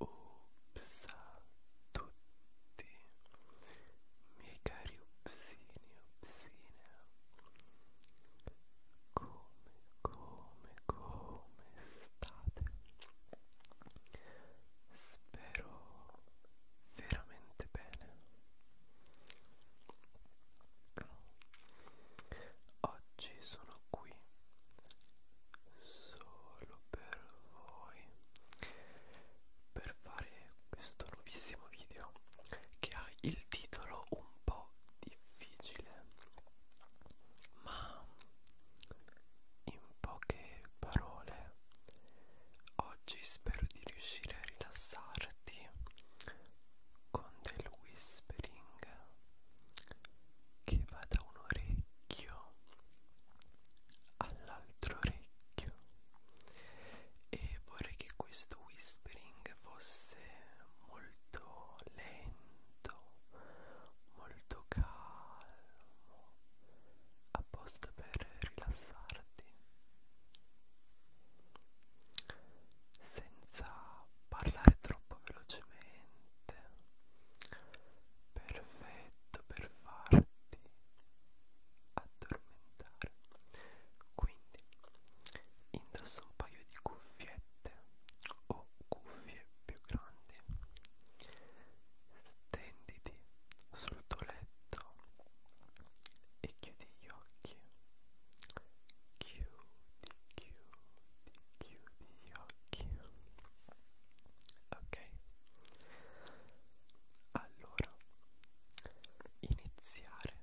Ups a tutti miei cari upsini, upsine come, come, come state? spero veramente bene oggi sono qui solo per voi per fare questo nuovissimo video che ha il titolo un po' difficile ma in poche parole, oggi spero di riuscire a rilassarti con del whispering che va da un orecchio all'altro orecchio e vorrei che questo whispering fosse molto lento molto calmo apposta per rilassarti senza parlare troppo velocemente perfetto per farti addormentare quindi indossa un paio di cuffiette cuffiette o cuffie più grandi. Stenditi sul tuo letto e chiudi gli occhi. Chiudi, chiudi, chiudi gli occhi. Ok. Allora, iniziare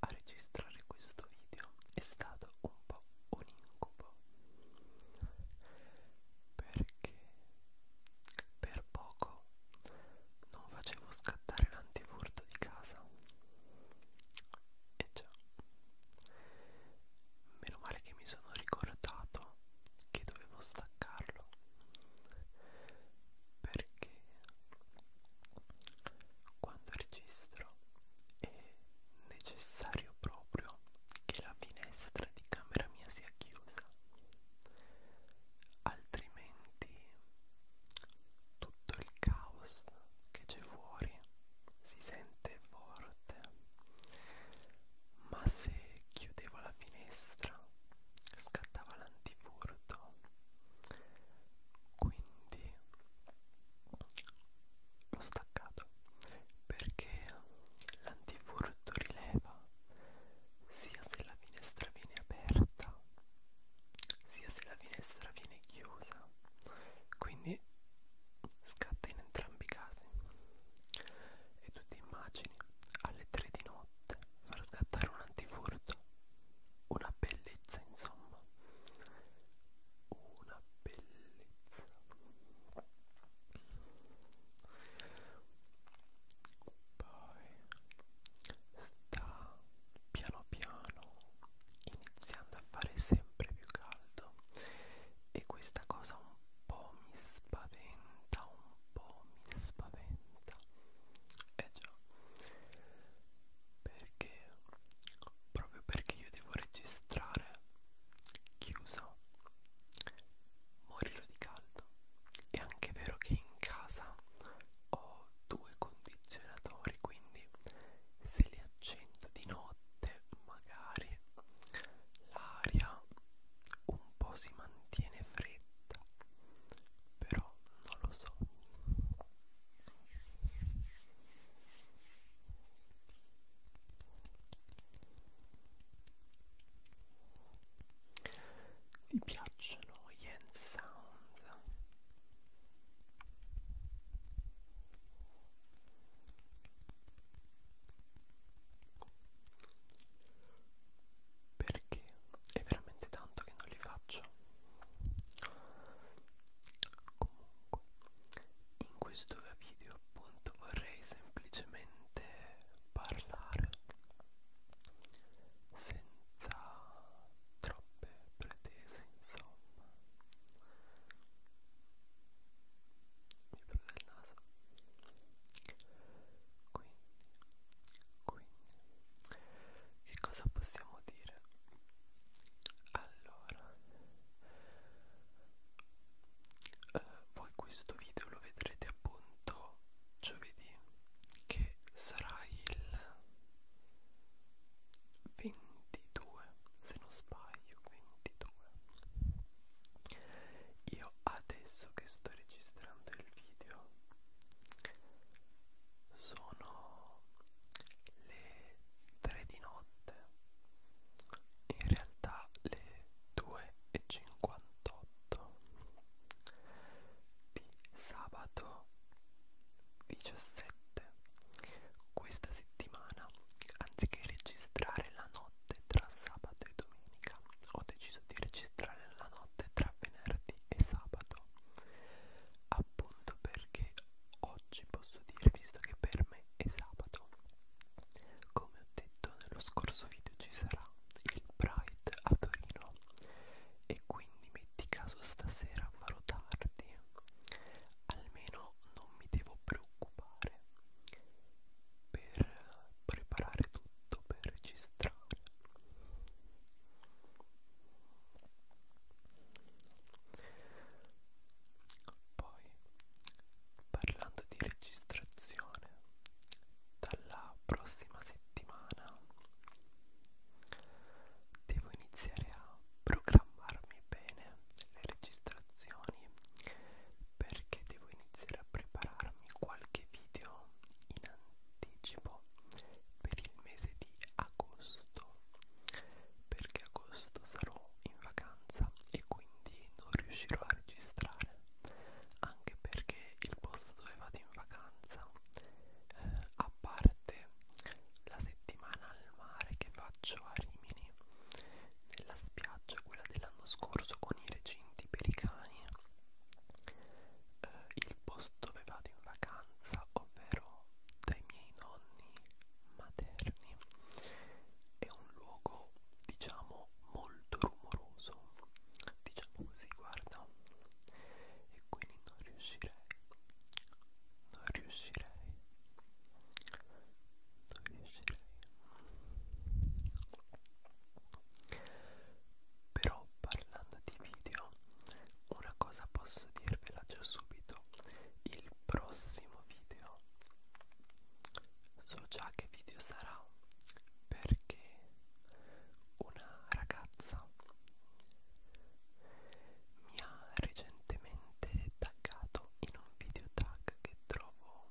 a registrare questo video è stato un po' un incubo perché per poco non facevo scattare l'antifurto di casa e già meno male che mi sono ricordato che dovevo staccarlo perché quando registro è necessario proprio che la finestra di camera mia sia chiusa altrimenti tutto il caos che c'è fuori si sente forte ma se chiudevo la finestra scattava l'antifurto quindi l'ho staccato perché l'antifurto rileva sia se la finestra viene aperta sia se la finestra viene chiusa quindi scatta in entrambi i casi e tu ti immagini alle 3 di notte far scattare un antifurto una bellezza insomma una bellezza poi sta piano piano iniziando a fare sempre più caldo e questa cosa un po' mi spaventa un po' mi spaventa eh già, perché perché proprio perché io devo registrare chiuso morirò di caldo è anche vero che in casa ho due condizionatori quindi se li accendo di notte magari l'aria un po' si mantiene fredda però non lo so vi piacciono gli hand sound? Perché è veramente tanto che non li faccio comunque in questo video appunto vorrei semplicemente parlare senza troppe pretese insomma mi prude il naso quindi quindi che cosa possiamo dire allora eh, voi questo video lo vedrete appunto giovedì che sarà il 22 se non sbaglio 22 io adesso che sto registrando il video sono le alle 3 di notte in realtà le 2.58 di sabato 17 questa settimana anziché registrare la notte tra sabato e domenica ho deciso di registrare la notte tra venerdì e sabato appunto conto perché oggi posso dire, visto che per me è sabato, come ho detto nello scorso video ci sarà il Pride a Torino e quindi metti caso stasera farò tardi, almeno non mi devo preoccupare per preparare tutto, per registrare. Poi, parlando di registrazione, dalla prossima settimana devo iniziare a programmarmi bene le registrazioni perché devo iniziare a prepararmi qualche video in anticipo per il mese di agosto perché agosto sarò in vacanza e quindi non riuscirò a registrare anche perché il posto dove vado in vacanza eh, a parte la settimana al mare che faccio a Rimini nella spiaggia quella dell'anno scorso con i recinti per i cani eh, il il posto dove vado in vacanza, ovvero dai miei nonni materni. È un luogo, diciamo, molto rumoroso, diciamo così, guarda. E quindi non riuscirei, non riuscirei, non riuscirei. Però parlando di video una cosa posso dirvela già subito il prossimo video so già che video sarà perché una ragazza mi ha recentemente taggato in un video tag che trovo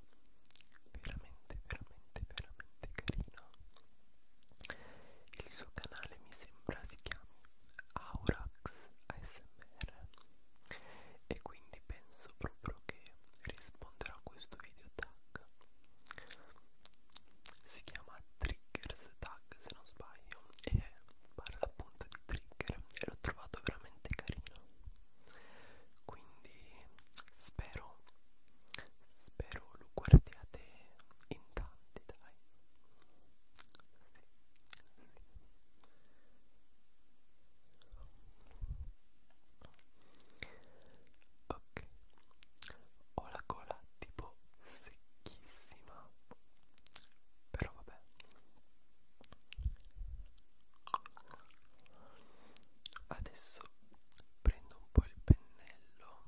veramente veramente veramente carino il suo canale mi sembra si chiami Aurax ASMR e quindi penso proprio che risponderà a questo video tag. Si chiama Triggers Tag se non sbaglio e parla appunto di trigger e l'ho trovato veramente carino. Quindi spero spero lo guardiate in tanti dai ok ho la gola tipo secchissima però vabbè adesso prendo un po' il pennello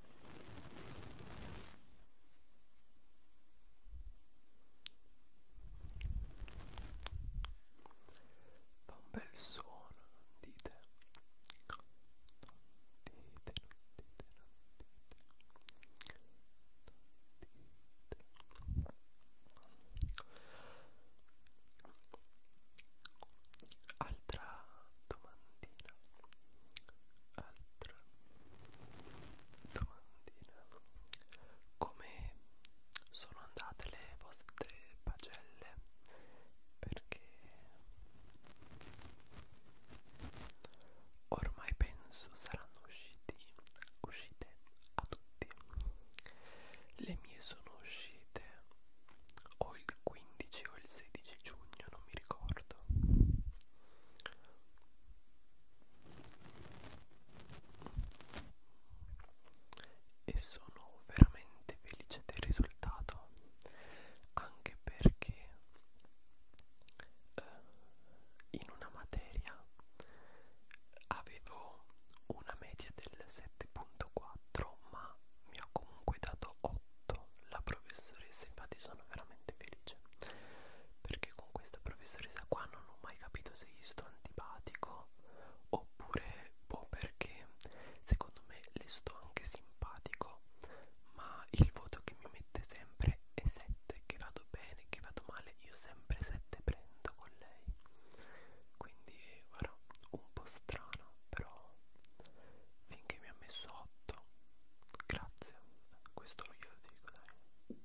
Fa un bel suono, non dite? Non dite, non dite, non dite. Non dite. Altra domandina altra domandina come sono andate le vostre pagelle perché ormai penso saranno usciti uscite a tutti le mie sono uscite o il 15 o il 16 giugno non mi ricordo e sono veramente felice del risultato anche perché eh, in una materia avevo una media del 7.4 ma mi ha comunque dato 8 la professoressa infatti sono veramente felice perché con questa professoressa qua non ho mai capito se gli sto antipatico oppure boh perché secondo me le sto anche simpatico ma il voto che mi mette sempre è 7 che vado bene che vado male io sempre 7 prendo con lei quindi guarda un po' strano però finché mi ha messo 8 grazie questo lo glielo dico dai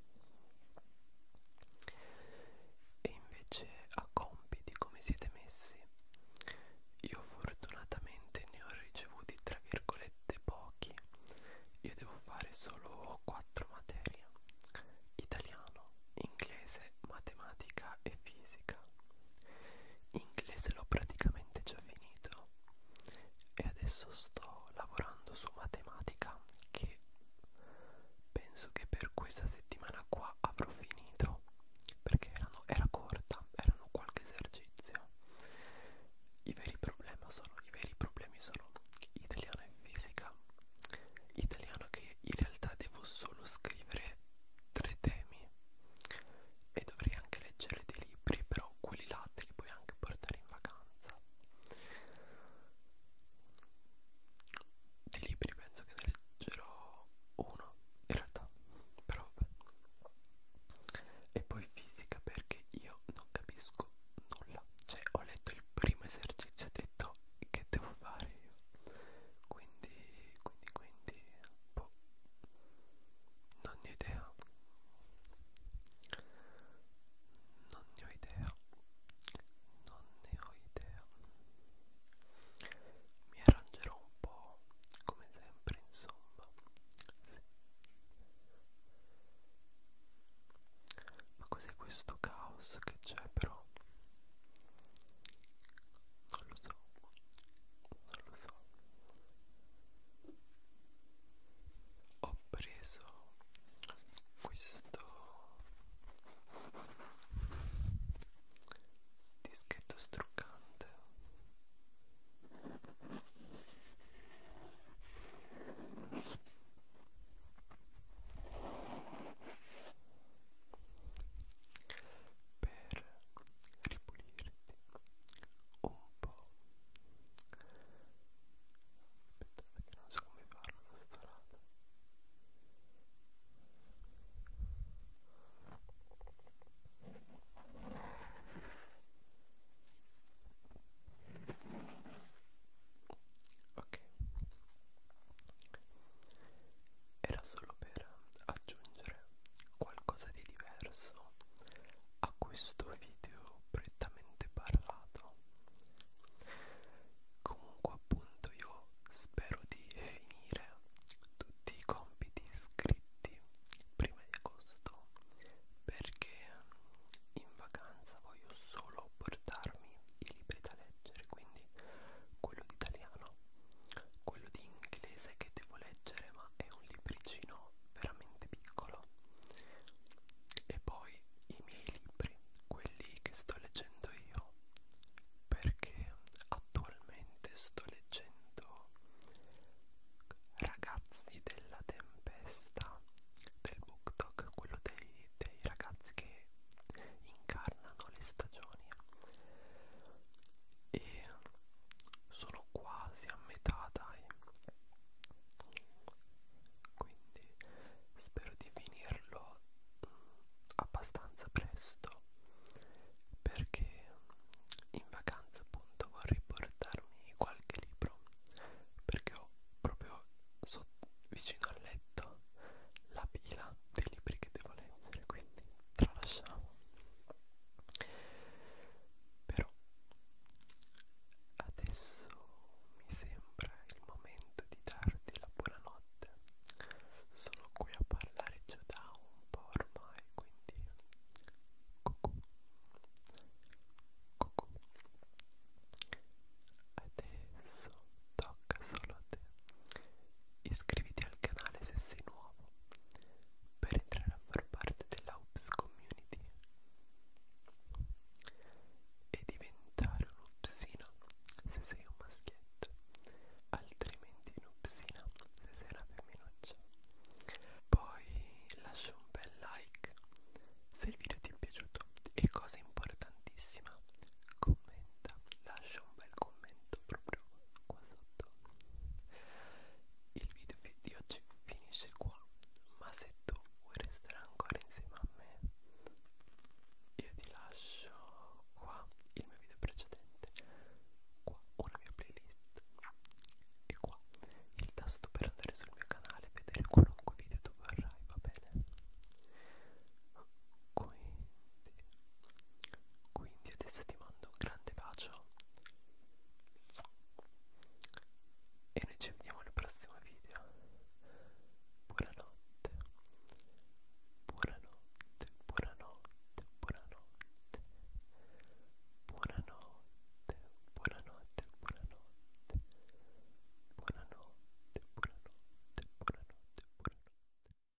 e invece a compiti come siete messi io fortunatamente ne ho ricevuti tra virgolette pochi io devo fare solo quattro materie italiano inglese matematica e fisica inglese l'ho praticamente già finito e adesso sto lavorando su matematica che penso che per questa settimana qua avrò finito perché erano, era corta, erano qualche esercizio i veri problemi sono i veri problemi sono italiano e fisica italiano che in realtà devo solo scrivere tre temi e dovrei anche leggere dei libri, però quelli là te li puoi anche portare in vacanza. Di libri penso che ne leggerò uno, in realtà, però vabbè. E poi fisica perché io non capisco nulla, cioè ho letto il primo esercizio e ho detto che devo fare io. Quindi, quindi, quindi boh, non ne ho idea non ne ho idea non ne ho idea mi arrangerò un po' come sempre insomma ma cos'è questo caos che c'è però? Non lo so, non lo so ho preso questo dischetto struccante per ripulirti un po'. Aspettate che non so come farlo da sto lato. Ok, era solo per aggiungere qualcosa di diverso a questo video prettamente parlato comunque appunto io spero di finire tutti i compiti scritti prima di agosto perché in vacanza voglio solo portarmi i libri da leggere quindi quello di italiano libro quello di inglese che devo leggere ma è un libricino veramente piccolo e poi i miei libri quelli che sto leggendo io perché attualmente sto leggendo ragazzi della tempesta del book talk quello dei, dei ragazzi che incarnano le stagioni e sono quasi a metà dai quindi spero di finirlo mm, abbastanza presto perché in vacanza appunto vorrei portarmi qualche libro perché ho proprio so vicino al letto la pila dei libri che devo leggere quindi tralasciamo però adesso mi sembra il momento di darti la buonanotte sono qui a parlare già da un po' ormai quindi cucù cucù adesso tocca solo a te Iscriviti al canale se sei nuovo per entrare a far parte della Ups Community e diventare un'upsina se sei un maschietto, altrimenti un'upsina se sei una femminuccia. Poi lascia un bel like se il video ti è piaciuto e cosa importantissima, commenta, lascia lascia un bel commento proprio qua sotto il video di oggi finisce qua ma se tu vuoi restare ancora insieme a me io ti lascio qua il mio video precedente qua una mia playlist e qua il tasto per andare sul mio canale e vedere qualunque video tu vorrai va bene qui quindi adesso ti mando un grande bacio e noi ci vediamo al prossimo video. Buonanotte, buonanotte, buonanotte, buonanotte, buonanotte, buonanotte, buonanotte, buonanotte, buonanotte, buonanotte, buonanotte.